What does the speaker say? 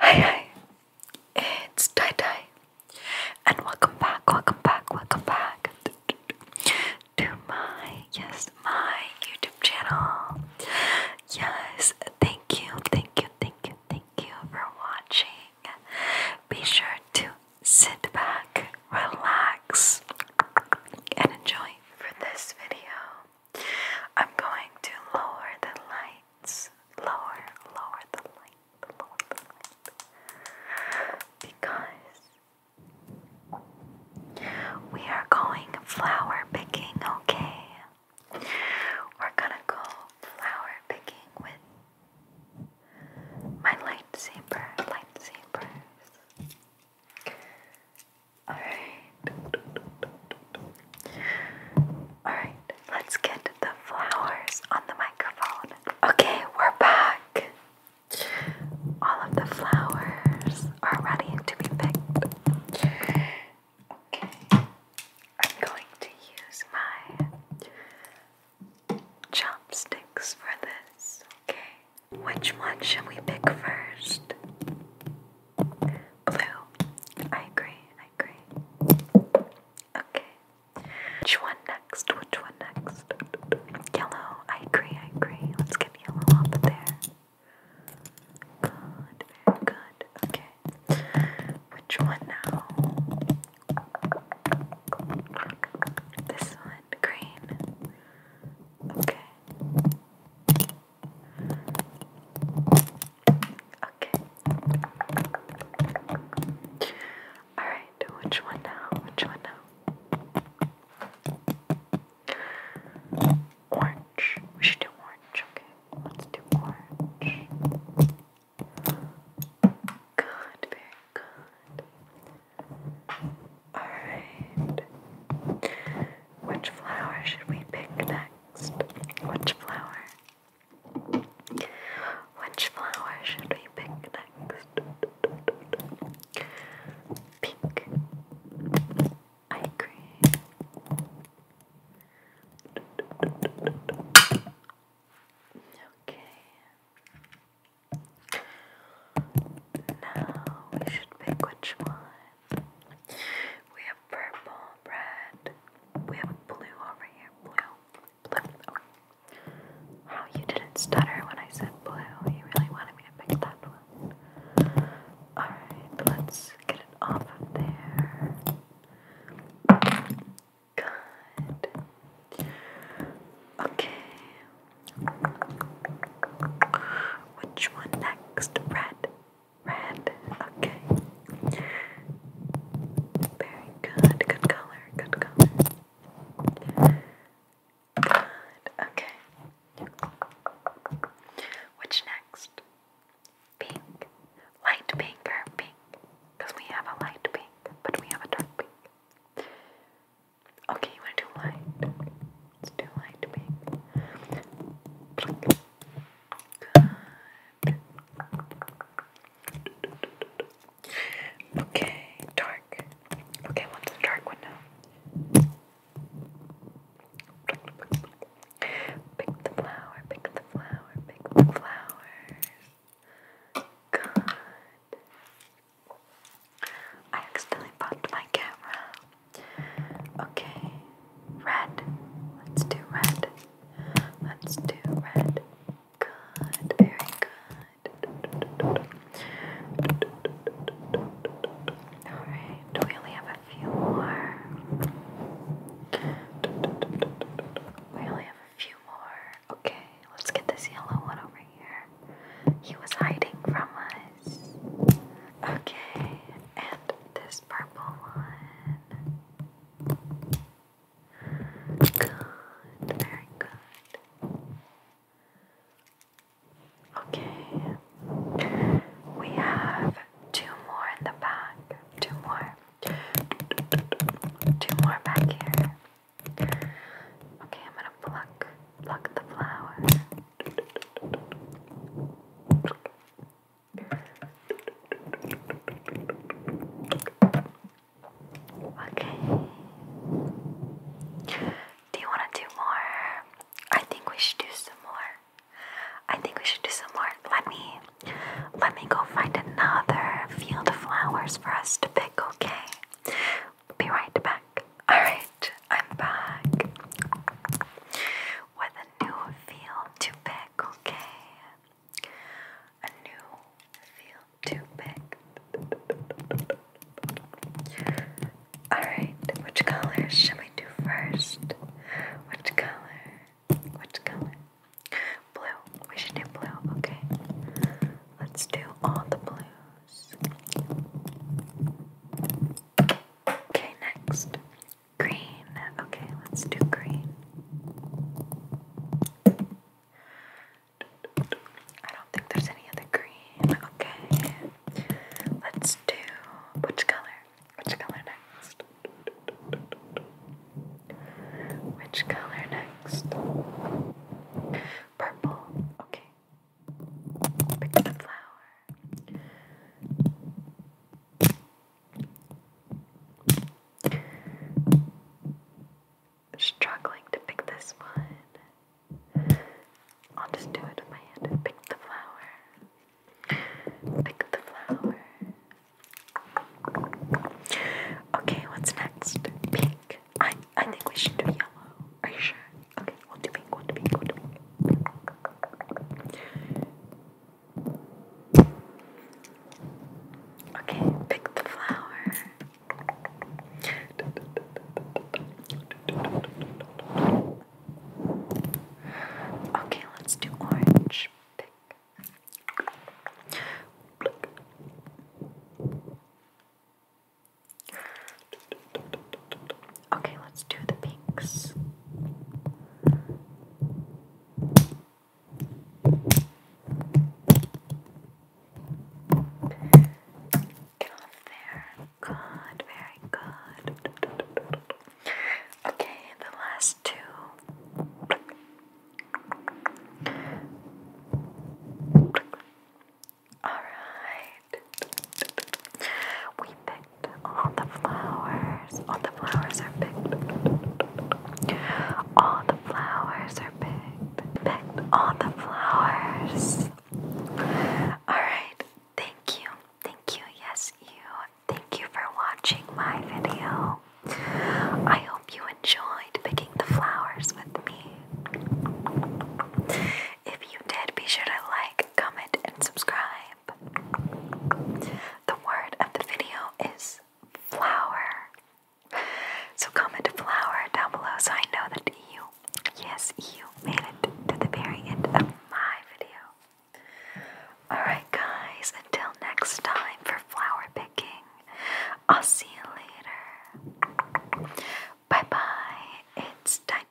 Hi hi, it's Tai Tai, and welcome back, welcome back, welcome back to my, yes, my YouTube channel yes, thank you, thank you, thank you, thank you for watching. Be sure to sit back, relax, and enjoy. For this video, I'm going to lower the lights. Lower, lower the light, lower the light. Because we are going flower picking, okay? We're gonna go flower picking with my lightsaber, lightsabers. Alright. Alright, let's get the flowers on the microphone. Okay, we're back. All of the flowers are ready to be picked. Okay, I'm going to use my chopsticks for this, okay? Which one should we pick first? Blue. I agree, I agree. Okay. Which one next? Which one next? Yellow. I agree, I agree. Let's go give up there. Good, good. Okay. Which one now? This one, green. Okay. Okay. Alright, which one now? Which one now? Orange. We should do orange, okay? Let's do orange. Good, very good. Alright. Which flower should we pick next? Which flower? Which flower should we pick next? Pink eye cream. Okay. Now we should pick which one. We have purple, red. We have blue over here. Blue. Wow, you didn't stutter when I said blue. You really wanted me to pick that one. Alright, let's get it off of there. Good. Okay. Which one next? Red. Red. Okay. Very good. Good color. Good color. Okay. Which next? Pink. Light pink or pink? Because we have a light pink, but we have a dark pink. Okay, you want to do light? Let's do light pink. Good. Okay, dark. Okay, what's the dark one Pick the flower, pick the flower, pick the flowers. God. I accidentally bumped my camera. Okay, red. Let's do red. Let's do red. Good, very good. Alright, we only have a few more. We only have a few more. Okay, let's get this yellow one over here. He was hiding from us. Okay, and this purple one. Good, very good. Okay, we have two more in the back. Two more. Two more back here. Okay, I'm gonna pluck, pluck the flower. Okay. Do you want to do more? I think we should do some more. I think we should do some more. Let me let me go find another field of flowers for us to pick, okay? Be right back. Alright, I'm back with a new field to okay? A new field to Alright, which color should we do first? Which color? Which color? Blue. We should do blue, okay? Let's do all the blues. Okay, next. Green. Okay, let's do green. I don't think there's any other green. Okay. Let's do which color? Which color next? Which color next? Purple. Okay. Pick the flower. Struggling to pick this one. I'll just do it with my hand pick the flower. Pick the flower. Okay, what's next? Pink. I I think we should do yellow. Are you sure? Okay, we'll pink, we'll pink, we'll pink. Okay, pick the flower. Okay, let's do orange. Pink. Pluck. Okay, let's do the pinks. Good, very good. Okay, the last two. Alright. We picked all the flowers. All the flowers are picked. All the flowers are picked. Picked all the flowers. Alright. Thank you. Thank you. Yes, you. Thank you for watching my video. I hope you enjoyed picking the flowers with me. If you did, be sure to like, comment, and subscribe. The word of the video is flower. So comment flower down below so I know that you, yes, you made it to the very end of my video. Alright, guys, until next time for flower picking, I'll see you later. Bye bye. It's tie